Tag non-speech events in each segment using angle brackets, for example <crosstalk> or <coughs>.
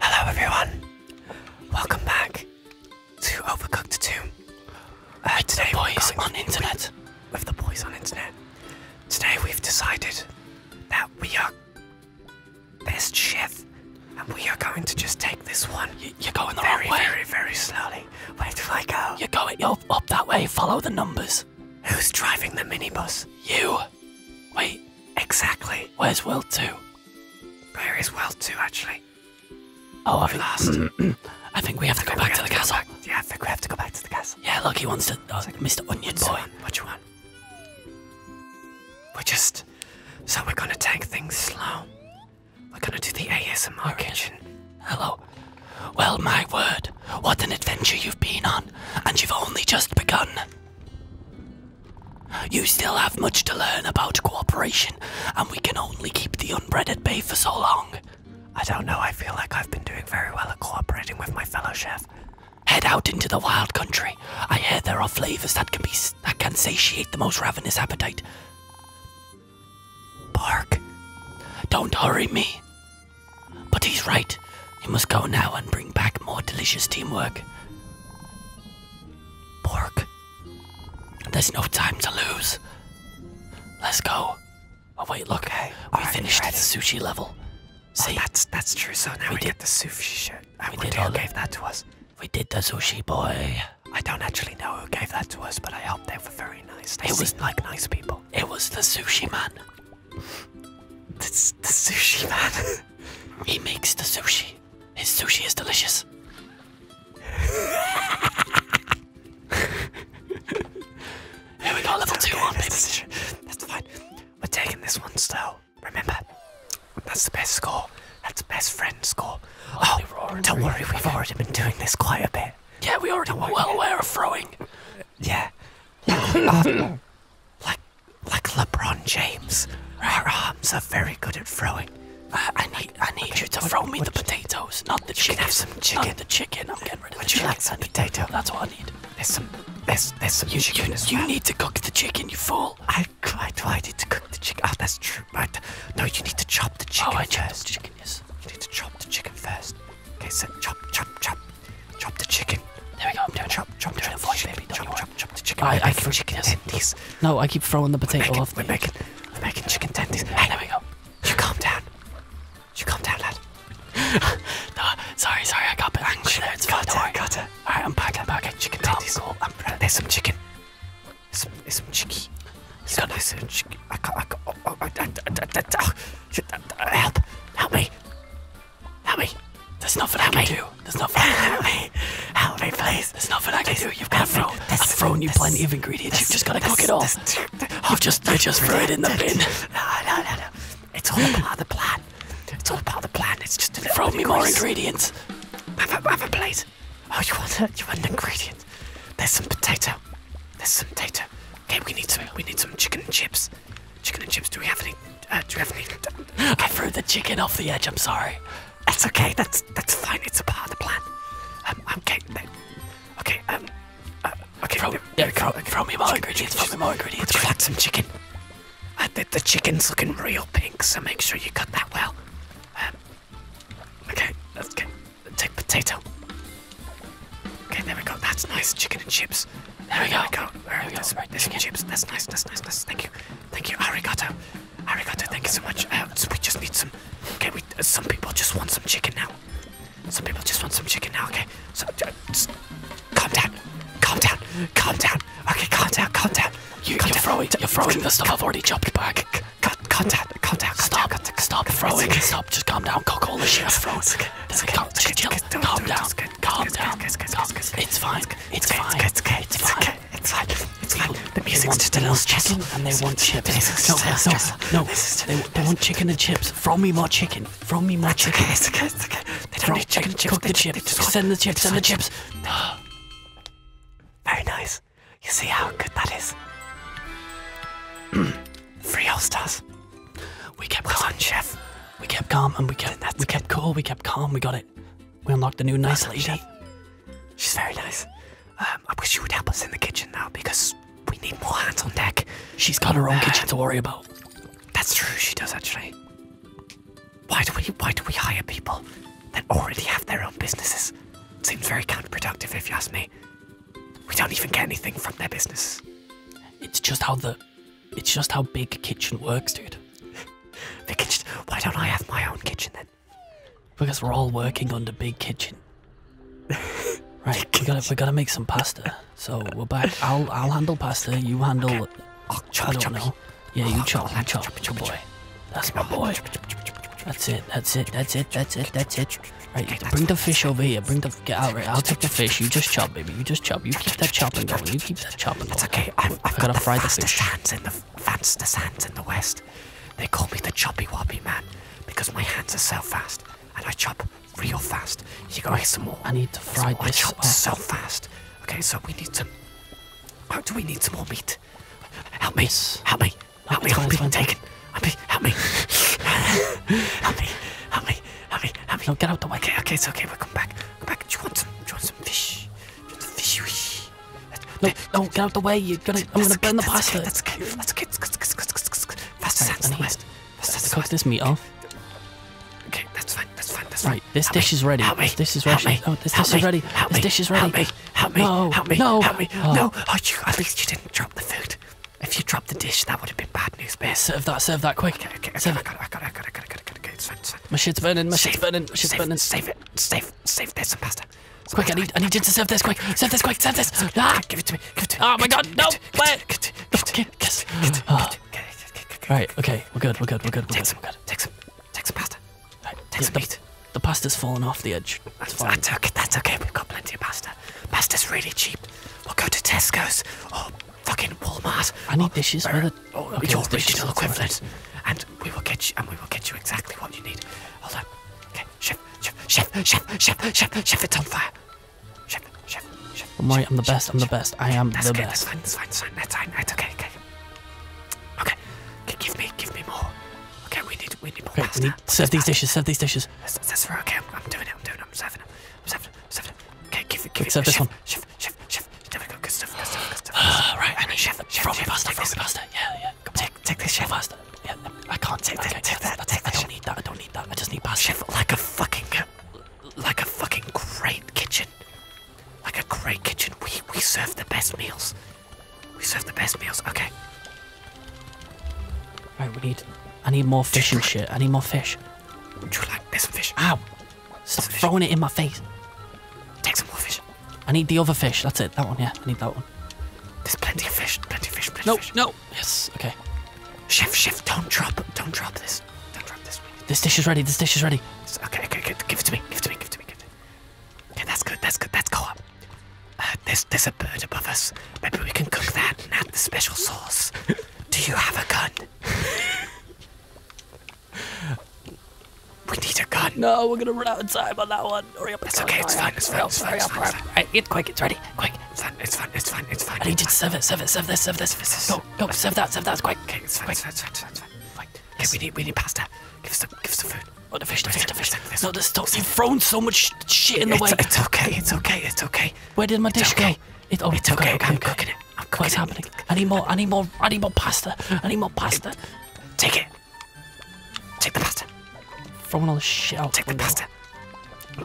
Hello everyone, welcome back to Overcooked 2. Uh, today boys on internet. With, the boys on internet. Today we've decided that we are best chef and we are going to just take this one. You, are going the very, wrong way. Very, very slowly. Where do I go? You're going up, up that way, follow the numbers. Who's driving the minibus? You. Wait. Exactly. Where's World 2? Where is is well too, actually. Oh, I think, last. <clears throat> I think we have to go back to the castle. Yeah, I think we have to go back to the castle. Yeah, look, he wants to. Oh, uh, Mr. Onion Boy. What you want? We're just. So we're gonna take things slow. We're gonna do the ASMR kitchen. Hello. Well, my word, what an adventure you've been on, and you've only just begun. You still have much to learn about cooperation, and we can only keep the unbred at bay for so long. I don't know, I feel like I've been doing very well at cooperating with my fellow chef. Head out into the wild country. I hear there are flavors that can be that can satiate the most ravenous appetite. Bark. Don't hurry me. But he's right. You must go now and bring back more delicious teamwork. Pork. There's no time to lose. Let's go. Oh wait, look. Okay. We right, finished the sushi level. Oh, See, that's that's true. So now we, we get the sushi shit. I we wonder uh, who gave that to us. We did the sushi, boy. I don't actually know who gave that to us, but I hope they were very nice. They it was like nice people. It was the sushi man. the, the sushi man. <laughs> he makes the sushi. His sushi is delicious. <laughs> Here we go, level two okay, Decision. That's fine. We're taking this one still. Remember, that's the best score. That's the best friend score. Oh, don't worry, we've already been doing this quite a bit. Yeah, we already were well aware of throwing. Yeah. <coughs> like, like LeBron James, our arms are very good at throwing. Uh, I need, I need you to throw me the potatoes, not the you chicken. Can have some chicken. Not the chicken. I'm getting rid of would the chicken. Would you like some potato? That's what I need. There's some, there's, there's some you, need to cook the chicken, you fool. I, I, I need to cook the chicken. Oh, that's true. But No, you need to chop the oh, chicken oh, I first. chicken, yes. You need to chop the chicken first. Okay, so chop, chop, chop, chop the chicken. There we go. I'm doing chop, it. chop, I'm doing chop, it for you, baby. do chop, chop, chop the chicken. I, I can chicken yes. tendies. No, I keep throwing the potato we're making, off. We're making, we're making chicken tendies. Hey, there we go. You calm down. You calm down, lad. no, sorry, sorry, I got a bit angry there. It's got fine. It, got it. All right, I'm back. I'm back. Chicken calm, tendies. Cool. I'm, there's some chicken. There's some, there's some chicky. You got this chicken. I can't. I can't. Oh, oh, I, I, I, I, I, help! Help me! Help me. There's nothing I can do. There's <laughs> nothing I can Help me. Help me, please. There's nothing I can do. You've got throw. I've thrown you plenty of ingredients. You've just got to cook it all. I've just, I just <laughs> threw it in the bin. No, no, no, no. It's all part of the plan. It's all part of the plan. It's just Throw me more ingredients. Have a, have a plate. Oh, you want, a, you want an ingredient? There's some potato. There's some potato. Okay, we need some, we need some chicken and chips. Chicken and chips. Do we have any uh, drifting. Okay. I threw the chicken off the edge. I'm sorry. That's okay. That's that's fine. It's a part of the plan. Um, okay. Okay. Um. Uh, okay. Throw, yeah, throw, okay. throw me more chicken, ingredients. Chicken, throw me more ingredients. Would you like some chicken? Uh, the, the chicken's looking real pink, so make sure you cut that well. Um, okay. Let's get take potato. Okay. There we go. That's nice. Chicken and chips. There we go. There we go. There we go. There's, there's chips. That's nice. That's nice. That's nice. Thank you. Thank you, arigato. Arigato, thank you so much. Uh, so we just need some. Okay, we, uh, some people just want some chicken now. Some people just want some chicken now, okay? So, uh, just calm down. Calm down. Calm down. Okay, calm down, calm down. You, calm you're, down. Throwing, you're throwing the stuff I've already chopped back. Calm, calm down, calm down. Stop, calm down, stop throwing. Okay. Stop, just calm down. Cook all the shit I've thrown. It's okay. It's okay. Calm, okay. Chill. calm down. Calm down. Calm down. It's fine. It's fine. It's okay. It's like, It's fine. The music's just a little chicken, and they want chips. No, no, no. They, want chicken and chips. Throw me more chicken. Throw me more chicken. Okay, okay, okay. They don't need chicken and chips. Cook the chips. Send the chips. Send the chips. Very nice. You see how good that is. <clears throat> Three all stars. We kept calm, chef. We kept calm, and we kept we kept cool. We kept calm. We got it it. We unlocked a new nice lady. Chef. She's very nice. Um, I wish she would help us in the kitchen now because we need more hands on deck. She's got her own uh, kitchen to worry about. That's true. She does actually. Why do we Why do we hire people that already have their own businesses? Seems very counterproductive, if you ask me. We don't even get anything from their business. It's just how the it's just how big kitchen works, dude. <laughs> the kitchen. Why don't I have my own kitchen then? Because we're all working on the big kitchen. <laughs> Right, we gotta we gotta make some pasta. So we're back. I'll I'll handle pasta. You handle. I don't know. Yeah, you chop, you chop, chop, chop, boy. That's my boy. That's it. That's it. That's it. That's it. That's it. Right, bring the fish over here. Bring the get out. Right, I'll take the fish. You just chop, baby. You just chop. You keep that chopping going. You keep that chopping going. That's okay. I've, I've got to fry the fish. Hands in the fastest hands in the west. They call me the choppy woppy man because my hands are so fast and I chop real fast. You go hear some more. I need to fry so this. I chop up. so fast. Okay, so we need some. Oh, do we need some more meat? Help me! Yes. Help me! Help no, me! I'm being taken. I'm being. Help me! help me! Help me! Help me! Help me! No, get out the way. Okay, okay, it's okay. We'll come back. Come back. Do you want some? Do you want some fish? No, no, get out the way. You're gonna, I'm gonna burn the pasta. Let's get, let's get, let's get, faster right, than the west. Let's cook this meat off. Okay, that's fine, that's fine, that's right. This dish is ready. This dish is ready. Oh, this dish is ready. This dish is ready. Help me! Help me! No! Help me! No! Help me! Oh. No! Oh, you, at least you didn't drop the food. If you dropped the dish, that would have been bad news, babe. Serve that. Serve that quick. Okay, okay, okay. Serve. I got it. I got it. I got it. I got it. I got it. Okay, it's fine. It's my shit's burning. My shit's burning. My shit's save, burning. Save it. Save. Save. There's some pasta. Some quick, pasta. I need. I need you to serve this. Quick. Serve this. Quick. Serve this. Ah! Give it to me. Give it to me. Oh my God! No! Wait! Right. Okay. We're good. We're good. We're good. We're take good. Some, we're good. Take some. Take some pasta. Right. Take yeah, some meat. The, the pasta's fallen off the edge. That's, that's okay. That's okay. We've got plenty of pasta. Pasta's really cheap. We'll go to Tesco's or fucking Walmart. I need dishes. Where, Oh, okay, your original equivalent. And we will get you, and we will get you exactly what you need. Hold on. Okay, chef, chef, chef, chef, chef, chef, chef. It's on fire. Chef, chef, chef. I'm right. I'm the best. I'm the best. I am the best. That's fine. That's fine. That's fine. That's fine. That's okay. Okay. Okay. Give me, give me more. Okay, we need, we need more pasta. We need, serve these dishes. Serve these dishes. That's, that's right. Okay, I'm, doing it. I'm doing it. I'm serving them. I'm serving them. Serving them. Okay, give it, give it. Serve this one. Chef, chef, chef, chef. There we go. Good stuff. Good stuff. Good stuff. Uh, right. I need chef. Chef. From chef, pasta. From pasta. Yeah, yeah. Come take, on. take this chef. Pasta. Yeah. I can't take okay, this. Take that. That's, take I that. I don't need that. I don't need that. I just need pasta. Chef, like a fucking, like a fucking great kitchen. Like a great kitchen. We we serve the best meals. We serve the best meals. Okay. Right. We need. I need more fish Different. and shit. I need more fish. Would you like this fish? Ow! Stop throwing it in my face. Take some more fish. I need the other fish. That's it. That one, yeah. I need that one. There's plenty of fish. Plenty of fish. Plenty no, no. Yes. Okay. Chef, chef, don't drop. Don't drop this. Don't drop this. This dish is ready. This dish is ready. Okay, okay, okay. Give it to me. Give it to me. Give it to me. Give Okay, that's good. That's good. That's co-op. Uh, there's there's a bird above us. Maybe we can cook that and add the special sauce. Do you have a gun? <laughs> We need a gun. No, we're gonna run out of time on that one. Hurry up. It's okay. It's fine. It's fine. It's fine. It's fine. Right, get quick. It's ready. Quick. It's fine. It's fine. It's fine. It's fine. I need you to serve it. Serve it. Serve this. Serve this. Serve this. Go. Go. Serve that. Serve that. Quick. Okay. It's fine. It's fine. It's fine. It's fine. Fine. Okay. We need. We need pasta. Give us some. Give us some food. Oh, the fish. The fish. The fish. No, this stuff. You've thrown so much shit in the way. It's okay. It's okay. It's okay. Where did my dish go? It. Oh, it's okay. I'm cooking it. I'm What's happening? I need more. I need more. I need more pasta. I need more pasta. Take it. Take the pasta. Throw all the shit out. Take the pasta.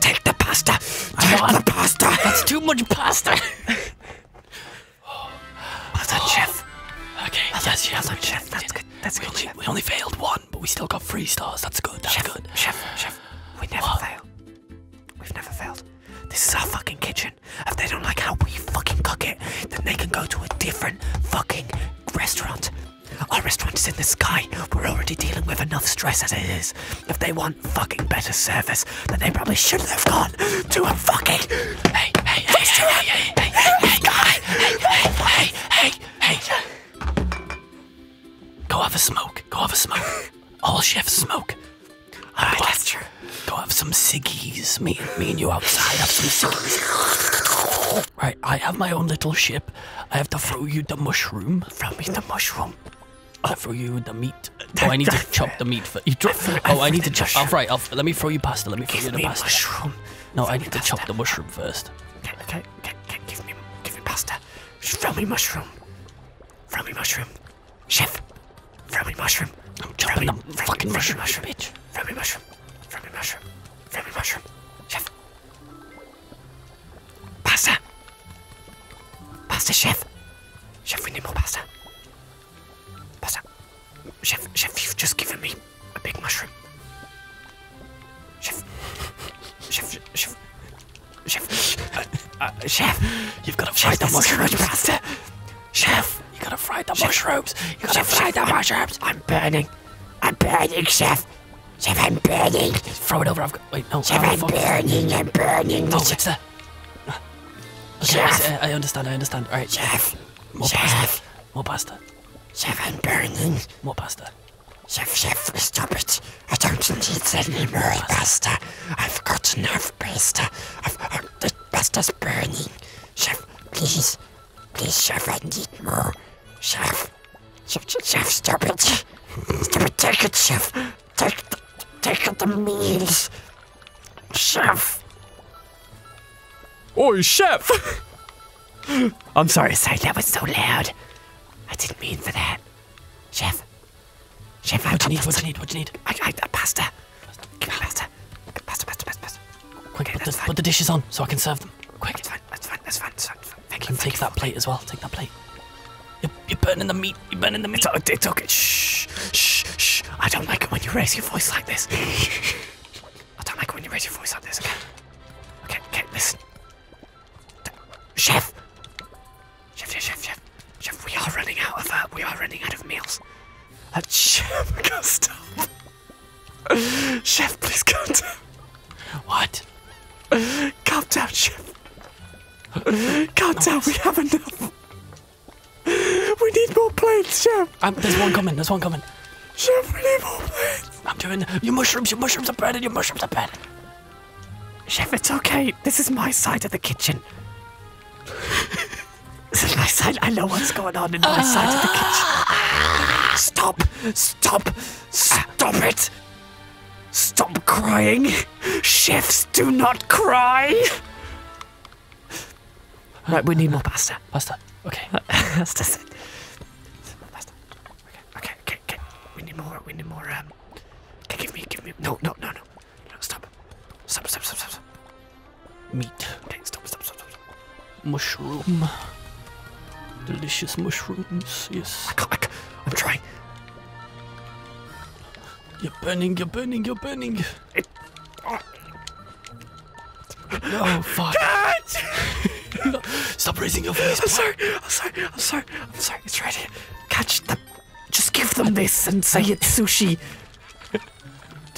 Take the pasta. Take the pasta. That's too much pasta. That's <laughs> <sighs> oh. chef. Okay. That's yes, chef. That's good. That's we good. Only, we only failed one, but we still got three stars. That's good. That's chef, good. Chef, chef, we never fail. We've never failed. This is our fucking kitchen kitchen. If they don't like how we fucking cook it, then they can go to a different fucking restaurant. Our restaurant is in the sky. We're already dealing with enough stress as it is. If they want fucking better service, then they probably should have gone to a fucking hey hey hey restaurant. hey hey hey hey guy hey hey hey hey hey. hey. Go have a smoke. Go have a smoke. All chefs smoke. All right, go that's have, Go have some ciggies. Me, me and you outside have some ciggies. right, I have my own little ship. I have to throw you the mushroom. Throw me the mushroom. I'll throw you the meat. Oh, I need to chop the meat. For, oh, I need to chop. All let me throw you pasta. Let me throw you the me pasta. Mushroom. No, I need to chop the mushroom first. Okay, okay, okay, give me, give me pasta. Throw me mushroom. Throw me mushroom. Chef, throw me mushroom. I'm chopping the fucking mushroom, mushroom, bitch. Throw me mushroom. Throw me mushroom. Throw me mushroom. Chef. Pasta. Pasta, chef. Chef, we need more pasta. Pasta. Chef, chef, you've just given me a big mushroom. Chef. Chef, chef. Chef. Uh, <laughs> uh, chef. You've got to find the mushroom. Pasta. Chef. You gotta fry the mushrooms. You gotta fry the mushrooms. I'm burning. I'm burning, chef. Chef, I'm burning. throw it over. I've got. Wait, no. Chef, I'm burning. I'm burning. No, it's the. Okay, I, I, understand. I understand. All right. Chef. More chef. pasta. More pasta. Chef, I'm burning. More pasta. Chef, chef, stop it. I don't need any more pasta. I've got enough pasta. The pasta's burning. Chef, please. Please, chef, I need more. Chef. Chef, chef, stop it. stop it. Take it, chef. Take, take the meals. Chef. Oi, chef! <laughs> I'm sorry, sorry, that was so loud. I didn't mean for that. Chef. Chef, what I, do you need? What do you need? I, need? I, I, pasta. Master. Master, Master, Master, Quick, put, the, dishes on so I can serve them. Quick. That's fine, that's fine, that's fine. Thank you. take that plate as well. Take that plate. You're, burning the meat. You're burning the meat. It's, okay. It's Shh, shh, shh. I don't like it when you raise your voice like this. I don't like it when you raise your voice like this, okay? Okay, okay, listen. Chef, chef, chef, chef. Chef, we are running out of uh, we are running out of meals. Uh, chef, go <laughs> stop. chef, please calm down. What? Calm down, chef. Calm no, down. We have enough. We need more plates, chef. Um, there's one coming. There's one coming. Chef, we need more plates. I'm doing your mushrooms. Your mushrooms are breaded. Your mushrooms are breaded. Chef, it's okay. This is my side of the kitchen. This is my side. I know what's going on in my side of the kitchen. Stop! Stop! Stop it! Stop crying! Chefs do not cry! Right, we need more pasta. Pasta. Okay. <laughs> Pasta. Okay, okay, okay, We need more, we need more, um... give me, give me... No, no, no, no. No, stop. Stop, stop, stop, stop. Meat. Okay, stop, stop, stop, stop. Mushroom. Delicious mushrooms, yes. I can't, I can't. I'm trying. You're burning, you're burning, you're burning. It, oh. No, fuck. no. <laughs> Stop raising your voice. I'm sorry, I'm sorry, I'm sorry, I'm sorry. It's right here. Catch them. Just give them this and say it's sushi.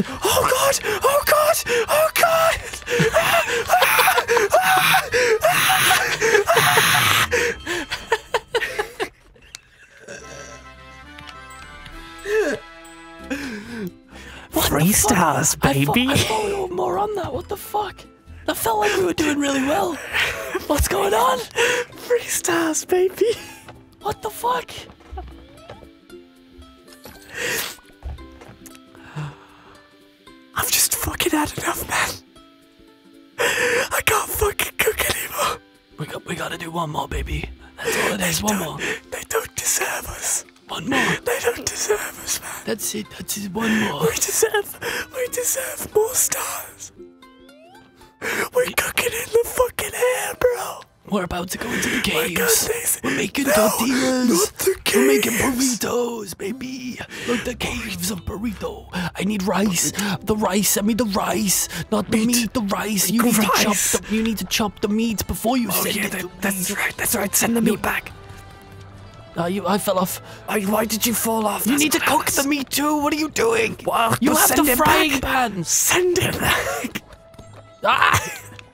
Oh god! Oh god! Oh god! what Three stars, baby. I thought, I thought we were more on that. What the fuck? That felt like we were doing really well. What's going on? Three stars, baby. What the fuck? I've <sighs> just fucking had enough, man. I can't fucking cook anymore. We got, we gotta do one more, baby. There's One more. They don't deserve us. One more. They don't deserve us, man. That's it. That's just One more. We deserve. We deserve more stars. We're cooking in the fucking air, bro we're about to go into the caves. We're making tortillas. We're making burritos, baby. Look, the caves of burrito. I need rice. The rice. I need the rice, not the meat. meat the rice. You need to chop. The, you need to chop the meat before you oh, send yeah, it. That, that's right. That's right. Send the meat back. Uh, you, I fell off. why did you fall off? You need to cook the meat too. What are you doing? you have the frying back. pan. Send it back. <laughs> Ah!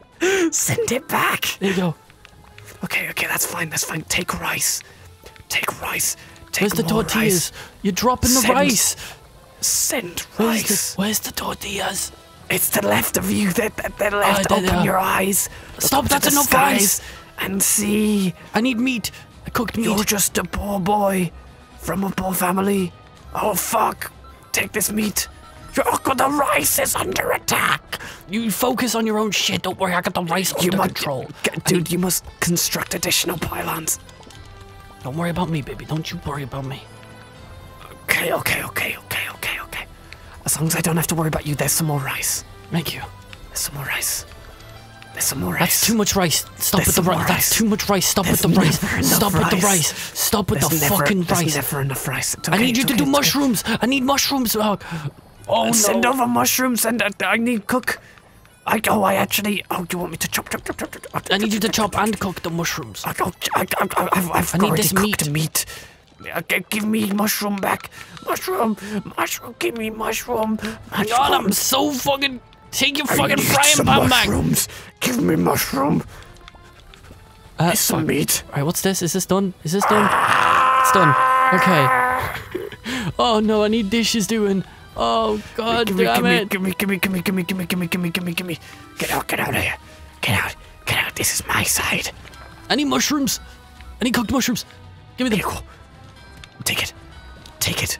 <laughs> Send it back! There you go. Okay, okay, that's fine, that's fine. Take rice. Take rice. Take Where's the tortillas? You're dropping the rice. Send rice. Where's the, tortillas? It's the left of you. They're, left. Oh, Open your eyes. Stop, that's enough guys. And see. I need meat. I cooked meat. You're just a poor boy. From a poor family? Oh fuck! Take this meat! Your uncle the rice is under attack! You focus on your own shit, don't worry, I got the rice you under control. dude, you must construct additional pylons. Don't worry about me, baby, don't you worry about me. Okay, okay, okay, okay, okay, okay. As long as I don't have to worry about you, there's some more rice. Thank you. There's some more rice. There's some more rice. That's too much rice. Stop with the rice. That's too much rice. Stop with the rice. Stop with the rice. Stop with there's the never, fucking rice. never enough rice. Okay, I need you okay, to do mushrooms. Good. I need mushrooms. Oh, oh uh, no. Send over mushrooms and uh, I need cook. I oh I actually oh do you want me to chop chop chop chop? chop, chop I need you to chop and cook the mushrooms. I oh, I I I've, I've I need this cooked meat. meat. Okay, give me mushroom back. Mushroom, mushroom, give me mushroom. mushroom. God, I'm so fucking. Take your I fucking frying pan mushrooms. back. Give me mushroom. Uh, some meat. Alright, what's this? Is this done? Is this done? It's done. Okay. Oh no, I need dishes doing. Oh god damn it. Gimme, gimme, gimme, gimme, gimme, gimme, gimme, gimme, gimme. Get out, get out of here. Get out, get out. This is my side. I need mushrooms. I need cooked mushrooms. Give me the. equal. Take it. Take it.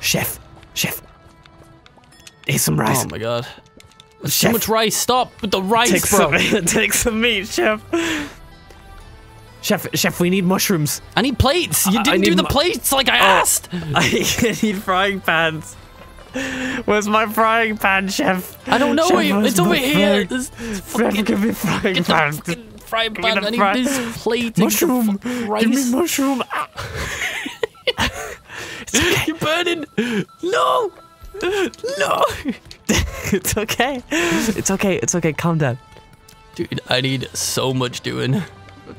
Chef. Chef. Here's some rice. Oh my god. Too much rice. Stop with the rice, take bro. Some, <laughs> take some meat, chef. Chef, chef, we need mushrooms. I need plates. You didn't do the plates like I oh. asked. <laughs> I need frying pans. Where's my frying pan, chef? I don't know. Chef, it's over here. This, fucking, give me frying get pan. The fucking frying pan. I need fry. this plate. Give me mushroom. <laughs> <laughs> okay. You're burning. No. No. <laughs> it's okay. It's okay. It's okay. Calm down. Dude, I need so much doing.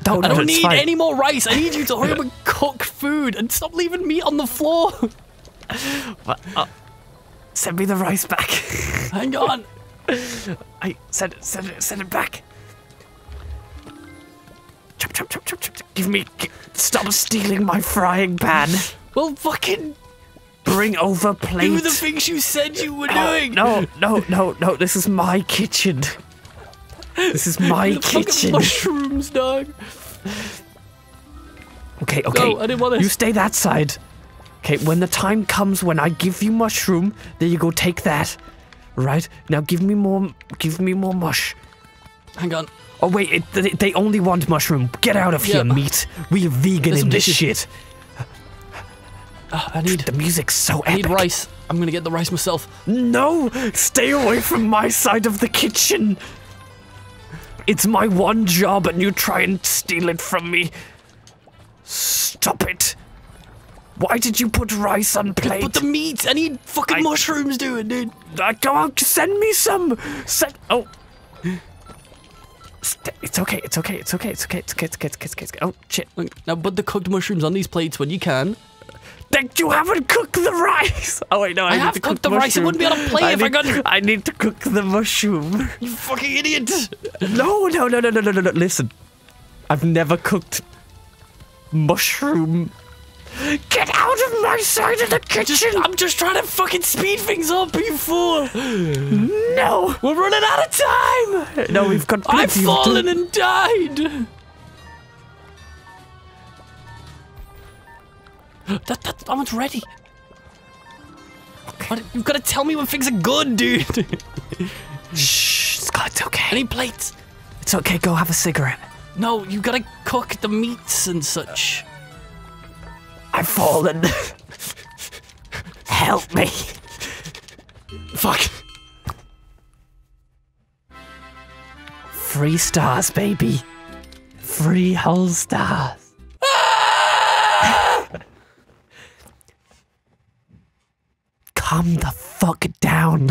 Don't, I don't need any more rice. I need you to hurry up and cook food and stop leaving me on the floor. But, uh, send me the rice back. <laughs> Hang on. I send send it, send it back. Chop, chop, chop, chop, chop. Give me. Stop stealing my frying pan. Well, fucking. Bring over plate. Do the things you said you were no, doing. No, no, no, no. This is my kitchen. This is my the kitchen. Mushrooms, dog. Okay, okay. No, I didn't want this. You stay that side. Okay, when the time comes when I give you mushroom, there you go. Take that. Right now, give me more. Give me more mush. Hang on. Oh wait, they, only want mushroom. Get out of here, meat. We're vegan in this shit. Ah, I need the music so I need rice. I'm gonna get the rice myself. No, stay away from my side of the kitchen. It's my one job, and you try and steal it from me. Stop it. Why did you put rice on plate? Put the meat. I need fucking I... mushrooms, doing dude. I, I come on, send me some. Send. Oh. It's okay. It's okay. It's okay. It's okay. It's okay. It's okay. It's okay. It's okay. It's okay. Oh shit! Look, now put the cooked mushrooms on these plates when you can. That you haven't cooked the rice. <laughs> Oh wait, no, I, I have cooked cook the mushroom. rice. It wouldn't be on a plate I if need, I got. I need to cook the mushroom. <laughs> You fucking idiot! No, no, no, no, no, no, no. Listen, I've never cooked mushroom. Get out of my side of the kitchen! I'm just trying to fucking speed things up, you No! We're running out of time! No, we've got I've fallen to... and died! That, that, that ready! You've got to tell me when things are good, dude! Shh, Scott, it's okay. Any plates? It's okay, go have a cigarette. No, you gotta cook the meats and such. I've fallen. Help me. Fuck. Three stars, baby. Three whole stars. Come the fuck down.